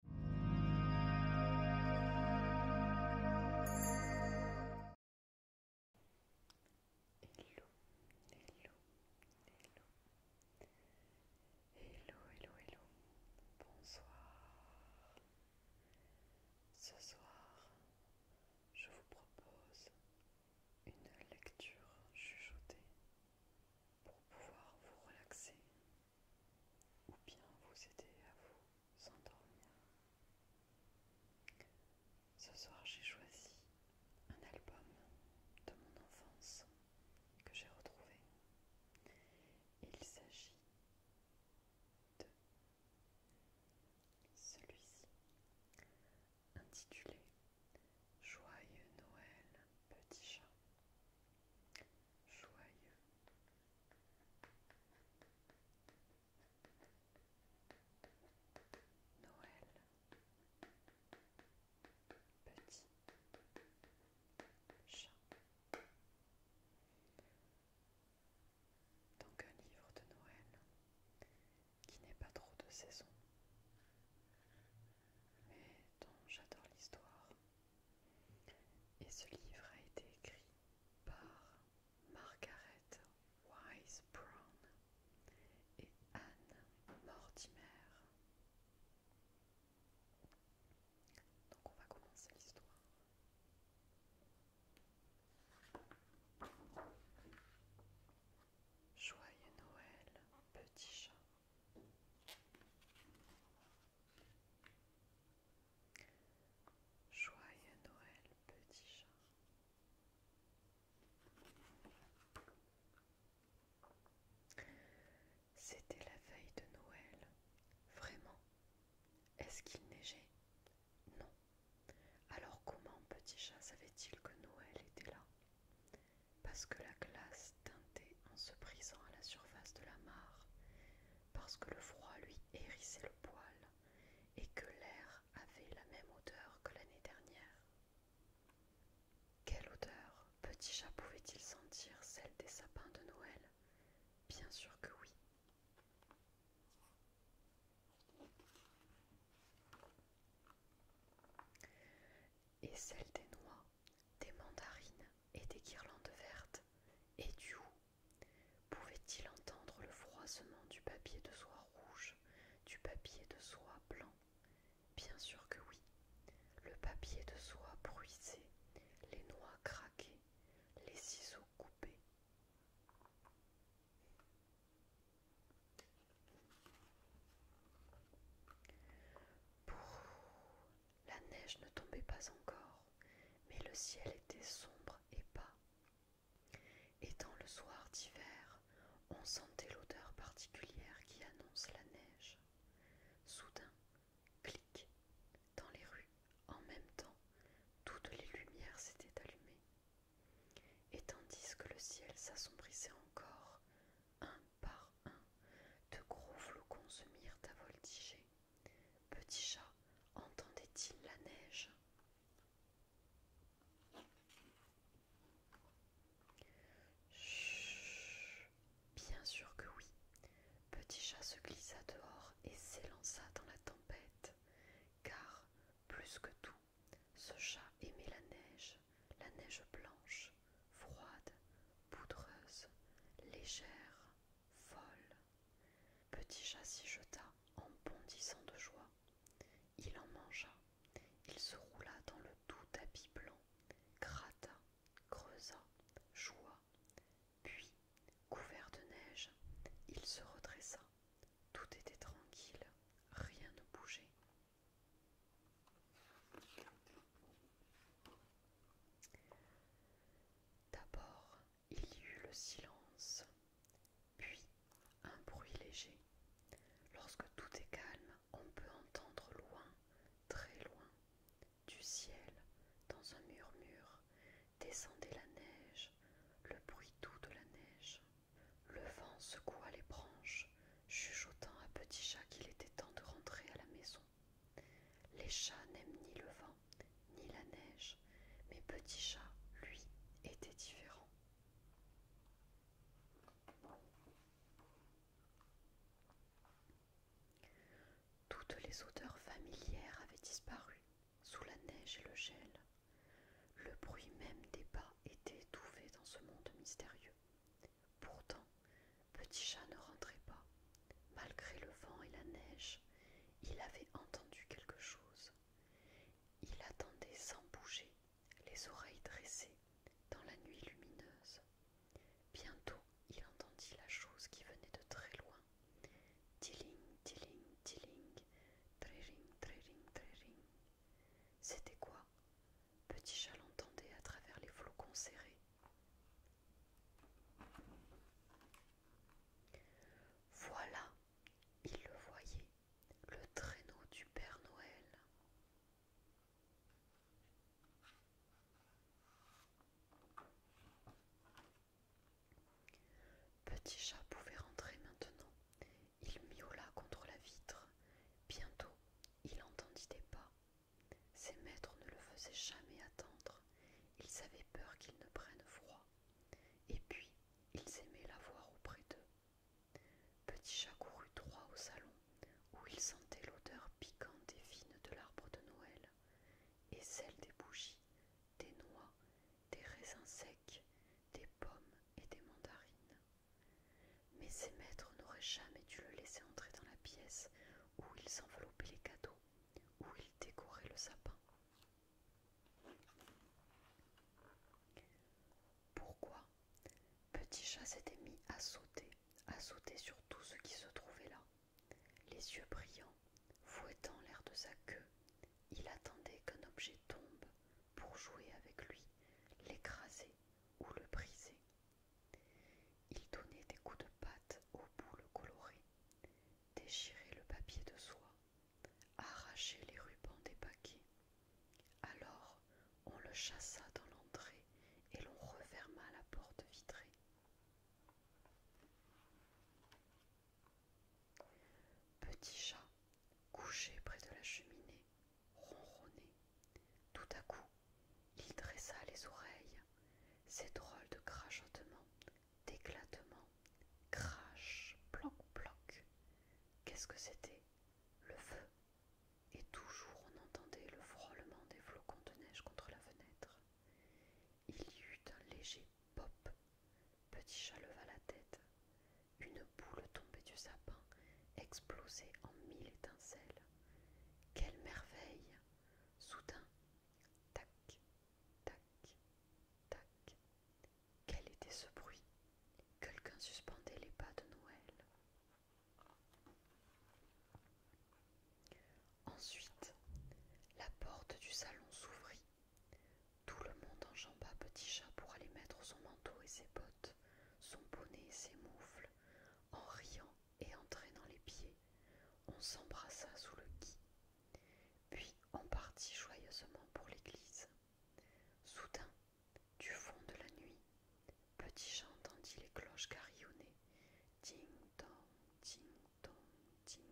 Hello, hello, hello, hello, hello, hello, bonsoir. Ce soir, je vous propose une lecture chuchotée pour pouvoir vous relaxer ou bien vous aider à vous endormir. Ce soir, j'ai choisi un album de mon enfance que j'ai retrouvé. Il s'agit de celui-ci, intitulé Joyeux Noël petit chat joyeux. Noël petit chat. Donc un livre de Noël qui n'est pas trop de saison, mais dont j'adore l'histoire et ce livre a été écrit par Margaret Wise Brown et Anne Mortimer. Donc on va commencer l'histoire. Joyeux Noël, petit chat. Joyeux Noël, petit chat. C'était la veille de Noël. Vraiment Est-ce qu'il neigeait Non. Alors comment petit chat savait-il que Noël était là parce que la glace teintait en se brisant à la surface de la mare, parce que le froid lui hérissait le poil et que l'air avait la même odeur que l'année dernière. Quelle odeur Petit chat pouvait-il sentir celle des sapins de Noël Bien sûr que oui et celle des noix, des mandarines et des guirlandes vertes, et du hou. Pouvait-il entendre le froissement du papier de soie rouge, du papier de soie blanc Bien sûr que oui. Le papier de soie bruisé, les noix craquées, les ciseaux coupés. La neige ne tombait pas encore, mais le ciel était sombre et bas. et dans le soir d'hiver, on sentait l'odeur particulière qui annonce la neige. Soudain, clic, dans les rues, en même temps, toutes les lumières s'étaient allumées. Et tandis que le ciel s'assombrissait encore, un par un, de gros flocons se mirent à voltiger. Petit chat entendait-il la neige Chut Bien sûr que oui. Petit chat se glissa dehors et s'élança dans la tempête, car, plus que tout, ce chat aimait la neige, la neige blanche, froide, poudreuse, légère, folle. Petit chat s'y jeta en bondissant de joie. Il en mangea, il se roula dans le doux tapis blanc, gratta, creusa, joua, puis, couvert de neige, il se redressa, tout était tranquille, rien ne bougeait. D'abord, il y eut le silence, puis un bruit léger. Lorsque tout est calme, on peut entendre loin, très loin, du ciel, dans un murmure, descendait la neige, le bruit doux de la neige. Le vent secoua les branches, chuchotant à Petit Chat qu'il était temps de rentrer à la maison. Les chats n'aiment ni le vent, ni la neige, mais Petit Chat, lui, était différent. Toutes les odeurs familières avaient disparu sous la neige et le gel. Le bruit même des pas était étouffé dans ce monde mystérieux. Pourtant, Petit Chat ne rentrait pas. Malgré le vent et la neige, il avait entendu quelque chose. Il attendait sans bouger, les oreilles dressées, dans la nuit lumineuse. Bientôt, il entendit la chose qui venait de très loin. C'était quoi Petit chat l'entendait à travers les flocons serrés. Voilà, il le voyait, le traîneau du Père Noël. Petit Chat pouvait rentrer maintenant. Il miaula contre la vitre. Bientôt, il entendit des pas. Ses maîtres ne le faisaient jamais attendre. Ils avaient peur qu'il ne prenne froid. Et puis, ils aimaient la voir auprès d'eux. Petit Chat courut droit au salon, où il sentait l'odeur piquante et fine de l'arbre de Noël, et celle des bougies, des noix des raisins secs, des pommes et des mandarines. Mais ses maîtres n'auraient jamais dû le laisser entrer dans la pièce où ils enveloppaient les cadeaux, où ils décoraient le sapin. Pourquoi Petit chat s'était mis à sauter, à sauter sur tout ce qui se trouvait là, les yeux brillants, fouettant l'air de sa queue, il attendait qu'un objet tombe pour jouer avec lui, l'écraser ou le briser. Il donnait des coups de patte aux boules colorées, déchirait le papier de soie, arrachait les rubans des paquets. Alors on le chassa dans l'entrée et l'on referma la porte vitrée. Petit chat, couché près de la cheminée, ronronnait. Tout à coup, il dressa les oreilles. Ces drôles de crachotements, d'éclatements, crash, bloc bloc Qu'est-ce que c'était Le feu. Et toujours on entendait le frôlement des flocons de neige contre la fenêtre. Il y eut un léger Pop Petit chat leva la tête. Une boule tombée du sapin explosait en mille étincelles. Quelle merveille Soudain, tac, tac, tac. Quel était ce bruit Quelqu'un suspendait les pas de Noël. Ensuite, la porte du salon s'ouvrit. Tout le monde enjamba Petit Chat pour aller mettre son manteau et ses bottes, son bonnet et ses moufles, en riant et en traînant les pieds. On s'embrassa sous le qui. Puis on partit joyeusement pour l'église. Soudain, du fond de la nuit, Petit Chat entendit les cloches carillonner ting,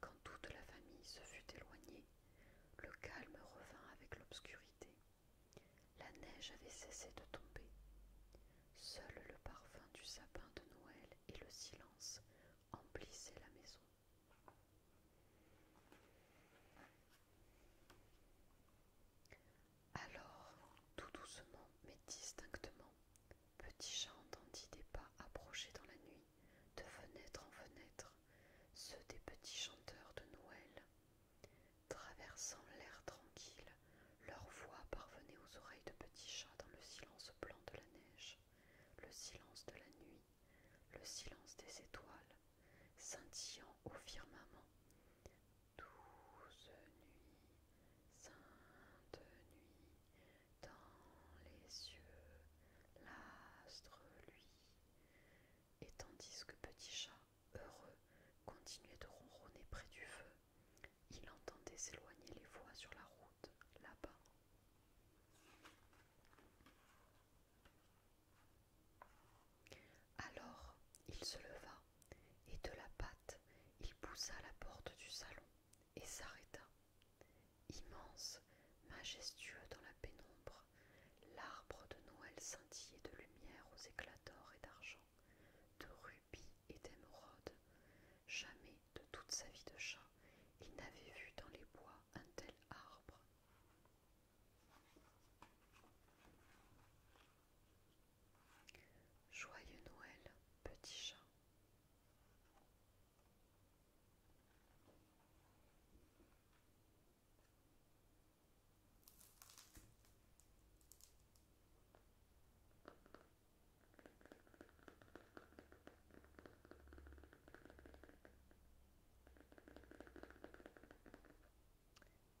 Quand toute la famille se fut éloignée, le calme revint avec l'obscurité. La neige avait cessé de tomber. Seul le parfum du sapin de Noël et le silence emplissaient la maison. Alors, tout doucement mais distinctement, Petit Chat entendit des pas approcher dans la nuit, de fenêtre en fenêtre, ceux des petits chanteurs de Noël. Traversant l'air tranquille, leur voix parvenait aux oreilles de Petit Chat dans le silence blanc de la neige, le silence de la nuit, le silence des étoiles, scintillant au firmament, Douze nuits, sainte nuit, dans les cieux, l'astre lui. Et tandis que Petit Chat, heureux, continuait de ronronner près du feu, il entendait s'éloigner les voix sur la route, là-bas. Alors il se leva, et de la patte il poussa la porte du salon et s'arrêta. Immense, majestueux dans la pénombre, l'arbre de Noël scintillait de lumière aux éclats d'or et d'argent, de rubis et d'émeraudes. Jamais de toute sa vie de chat il n'avait vu dans les bois un tel arbre. Joyeux Noël, petit chat.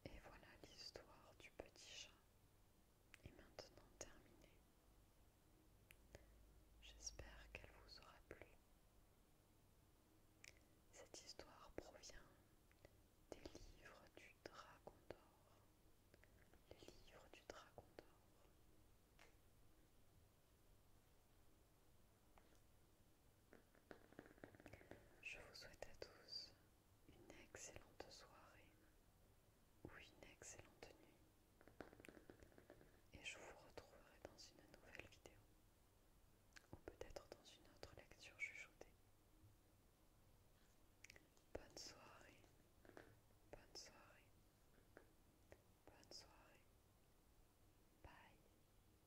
Et voilà l'histoire du petit chat est maintenant terminée. J'espère qu'elle vous aura plu. Cette histoire provient des livres du Dragon d'Or. Les livres du Dragon d'Or. Je vous souhaite à tous une excellente soirée ou une excellente nuit et je vous retrouverai dans une nouvelle vidéo ou peut-être dans une autre lecture chuchotée. Bonne soirée, bonne soirée, bonne soirée. Bye.